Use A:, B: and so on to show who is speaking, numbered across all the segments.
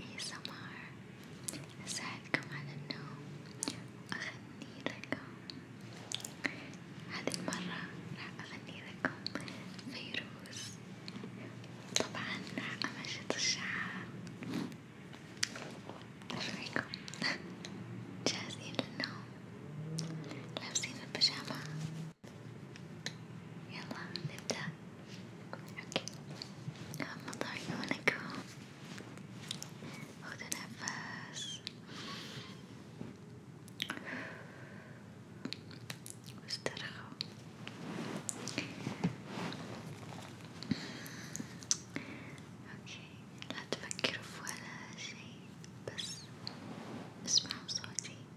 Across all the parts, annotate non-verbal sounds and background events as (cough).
A: ASMR أساعدكم على النوم وأغني لكم هذه المرة راح أغني لكم فيروز طبعا راح أمشط الشعر ايش رأيكم؟ جاهزين للنوم؟ لابسين البيجامة؟ يلا نبدأ اوكي غمض عيونك خذ نفس واسترخوا اوكي لا تفكروا في ولا شي بس اسمعوا صوتي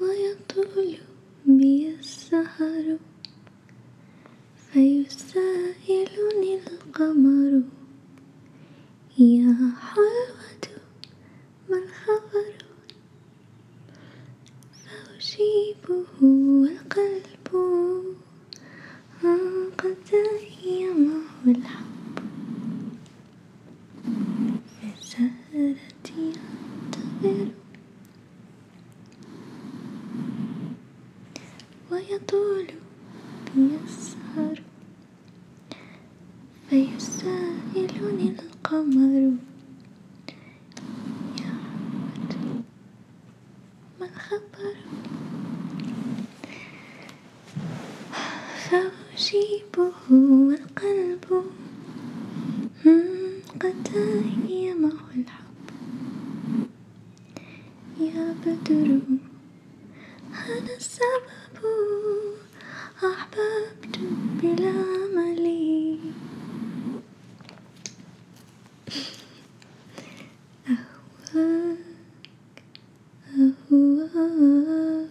A: ويطول بي السهر فيسائلني القمر يا حلوة ما الخبر فأجيبه والقلب قد تيمه الحب بسهرتي ينتظر ويطول بيسهر فيسائلني القمر يا عبد ما الخبر فأجيبه والقلب قد تهيمه الحب يا بدر أنا السبب أحببت بلا ملي أهواك أهواك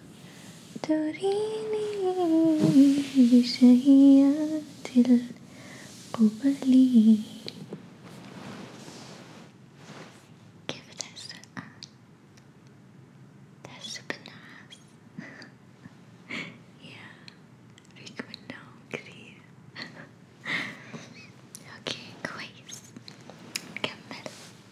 A: تريني بشهيات القبل كيف تحس تحس بالنعاس (laughs) يا ريق من كثير (laughs) اوكي كويس نكمل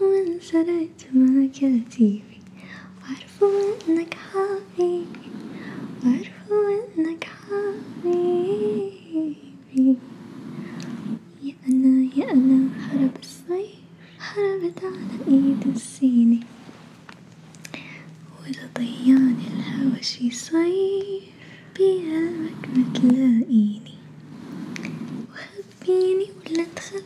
A: وانسرعت مكاتبي وعرفوا انك حبيبي وعرفوا انك حبيبي يا انا يا انا هرب الصيف هربت على ايد السيني وتضيعني الهوى شي صيف بقلبك ما تلاقيني وخبيني ولا تخبيني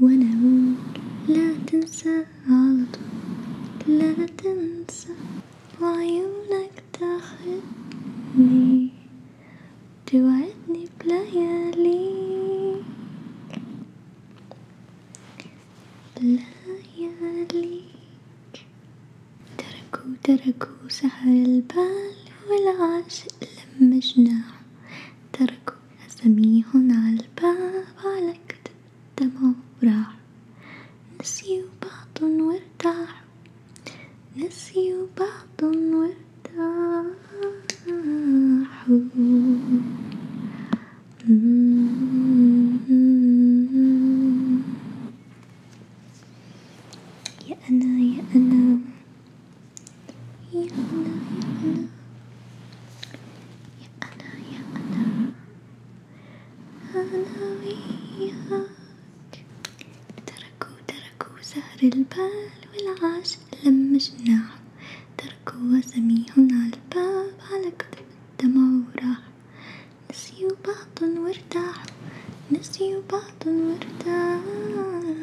A: وأنا أقول لا تنسى على طول لا تنسى وعيونك تاخدني توعدني بلياليك لياليك تركوا تركوا سحر البال والعاشق لما جناح تركوا سميه عالباب على كتب دمه وراح نسيوا بعض وارتاحوا نسيوا بعض وارتاحوا يا أنا يا أنا يا أنا يا أنا أنا وياك تركوا تركوا سهر البال والعاش لم جناح تركوا وسميهم على الباب على كتب الدمع وراح نسيوا بعض وارتاحوا نسيوا بعض وارتاحوا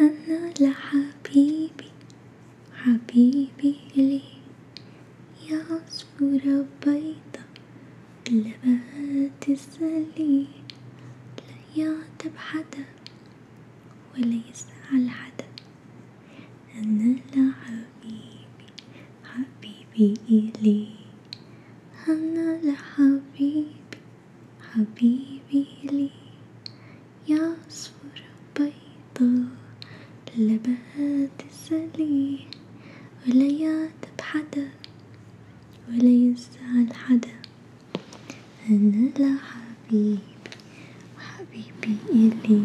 A: أنا لحبيبي حبيبي لي يعصفورة بيضة قلبها تسلي لا يعتب حدا ولا يسأل حدا أنا لحبيبي حبيبي إلي أنا لحبيبي حبيبي لي يعصفر بيضة لبات السلي ولا يعتب حدا ولا يزعل حدا أنا لا حبيبي وحبيبي إلي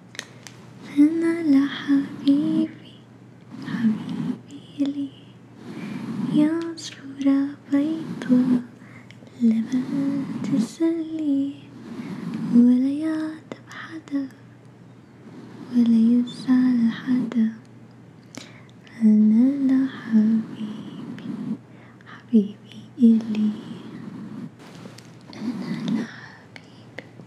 A: أنا لحبيبي حبيبي لي يا صورة بيضة لما تسلي ولا يعتب حدا ولا يزعل حدا أنا لحبيبي حبيبي إلي أنا لحبيبي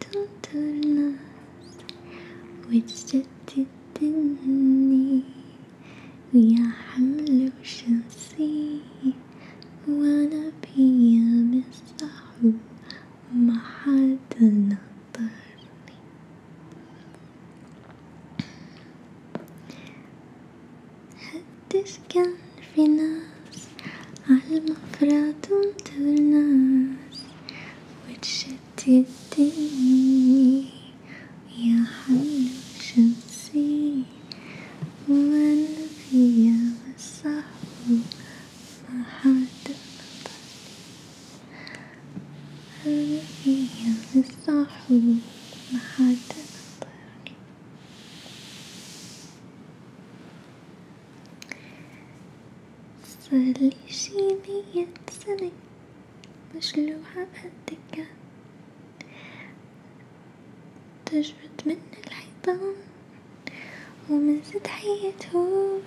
A: تنطر ناس وتشتت الدنيا ويا حمل وشمسي وانا بيا مصاحب ما حدا نطرني حدش كان في ناس عالمفرق تنطر ناس وتشتتني يا حلو شمسي وأنا فيا صاحبي ما حد نطر أنا فيا صاحبي ما حد نطر صارلي شي مية سنة مشلوعة بهالدكان تجبد من الحيطان ومن زد حية هون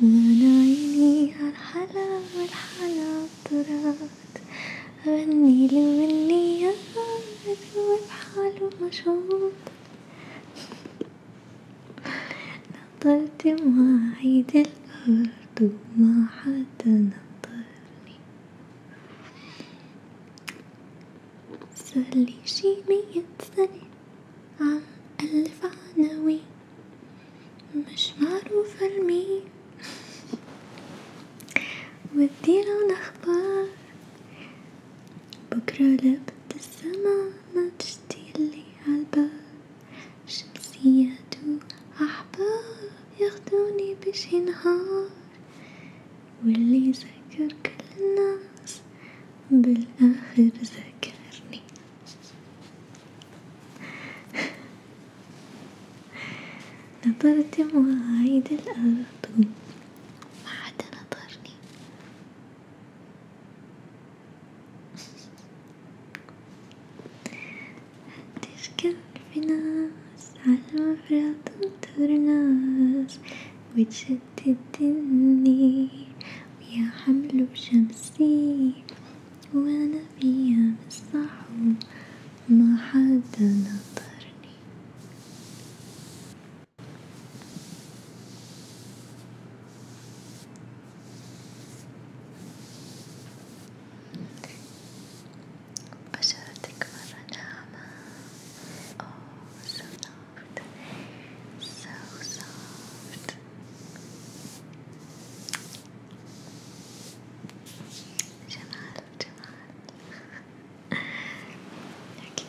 A: وانا عيني عالحلا والحلا طرات غني له مني يا بحاله مشغول نطرت مواعيد الأرض ما حد نطرني صارلي شي مية سنة عن ألف عناوين مش معروفة لمين ودي لون أخبار بكرة لابد السما ما تشتي اللي عالباب شمسيات وأحباب ياخدوني بشي نهار واللي ذكر كل الناس بالآخر ذكرني (laughs) نظرت مواعيد الأرض ما حدا نظرني هتركب في ناس على المفرق تنطر ناس وتشتت الدني ويا حمل بشمسي وانا فيها بالصحو ما حدا نطرني أشرتك مرة ناعمة Oh so soft So soft جمال جمال Okay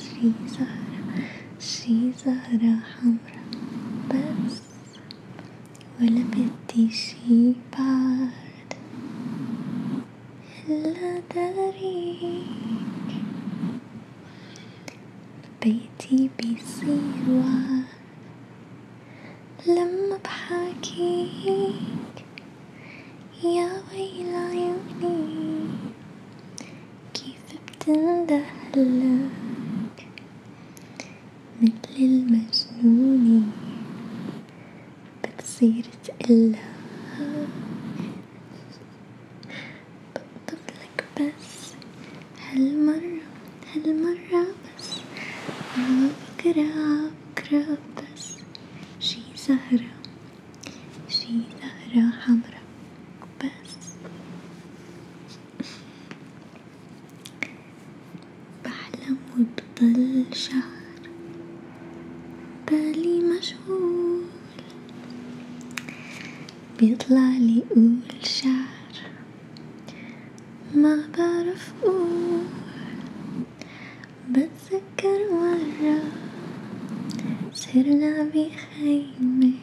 A: شي زهرة شي زهرة حمرا بس ولا بدي شي بعد إلا داريك بيتي بيصير وعد لما بحاكيك يا ويل عيوني كيف بتندهلك متل المجنونة بتصير تقلك بقطفلك بس هالمرة هالمرة بس بكرة بكرة بس شي زهرة شي زهرة حمرا وبس بحلم وبضل شهر بالي مشغول بيطلع لي قول شعر ما بعرف قول بتذكر مرة صرنا بخيمة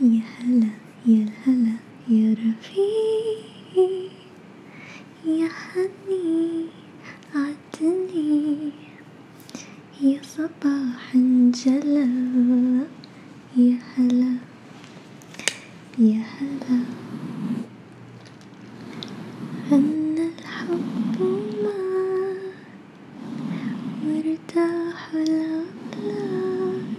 A: يا هلا يا هلا يا رفيق يا حني عدني يا صباح انجلى يا هلا يا هلا أن الحب ما وارتاح الأطلال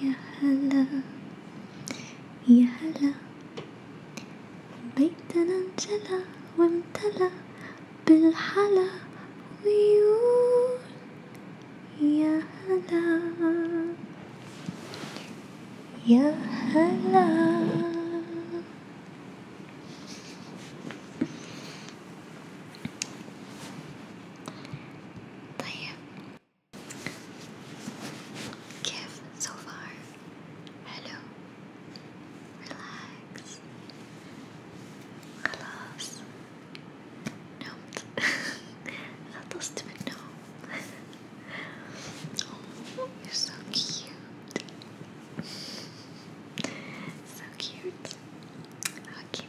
A: يا هلا يا هلا بيتنا انجلى وامتلى بالحلا ويقول يا هلا يا هلا طيب Give so far. Hello. Relax. Relax. No. (laughs) I oh, you're so cute. So cute. Okay.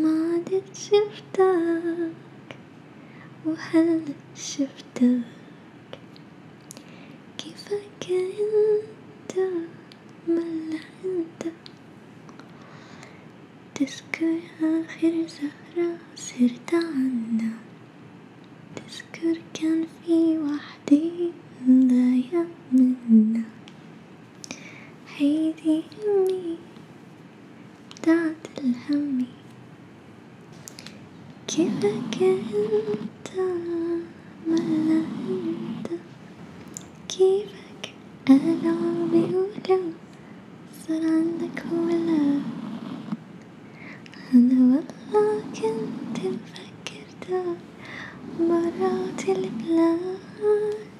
A: ما عدت شفتك وهلا شفتك كيفك انت ملا انت تذكر آخر زهرة صرت عنا تذكر كان في وحدي ضايع منا هيدي همي بتاعت الهم كأنك انت ولا انت كيفك انا بقوله صار عندك ولا انا والله كنت مفكرتك برات البلاد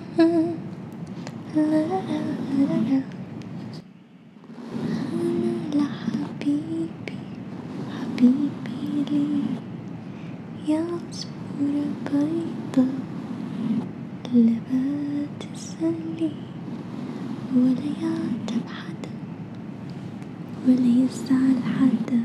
A: هلا حبيبي حبيبي لي يا عصفورة بيضة لا تسألني ولا يعتب حدا ولا يزعل حدا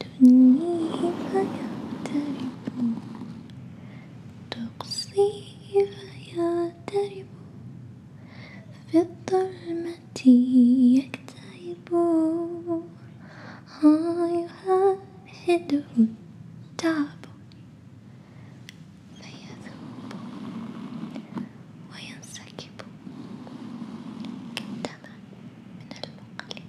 A: تدنيه فيعترف تقصيه فيعترف في الظلمة يكتئب يهدده التعب فيذوب وينسكب كالدمع من المقلب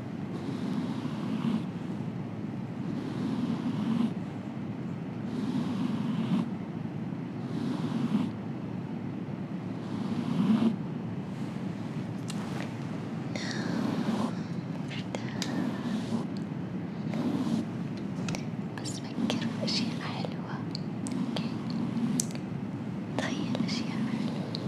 A: بس فكر بأشياء حلوة، أوكي؟ تخيل طيب، أشياء حلوة،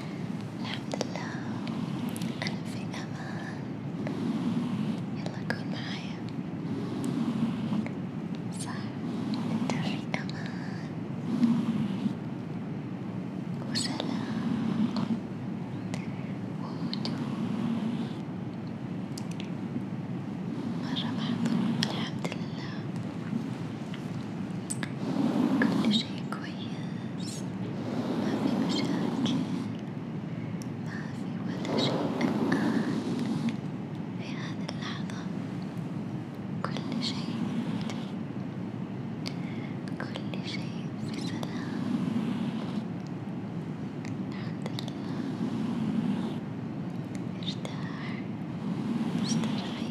A: الحمد لله أنا في أمان يلا كون معايا صح أنت في أمان وسلام وهدوء مرة محظوظ الحمد لله كل شيء كويس ما في مشاكل ما في ولا شيء الآن في هذه اللحظة كل شيء كل شيء في سلام الحمد لله ارتاح استرخي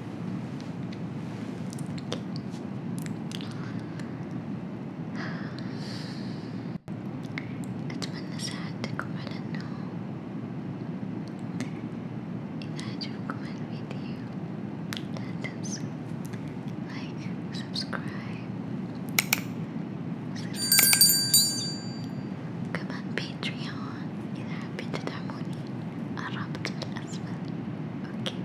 A: أتمنى ساعدتكم على النوم، إذا عجبكم الفيديو لا تنسوا لايك وسبسكرايب وكمان باتريون إذا حابين تدعموني الرابط الأسفل، أوكي.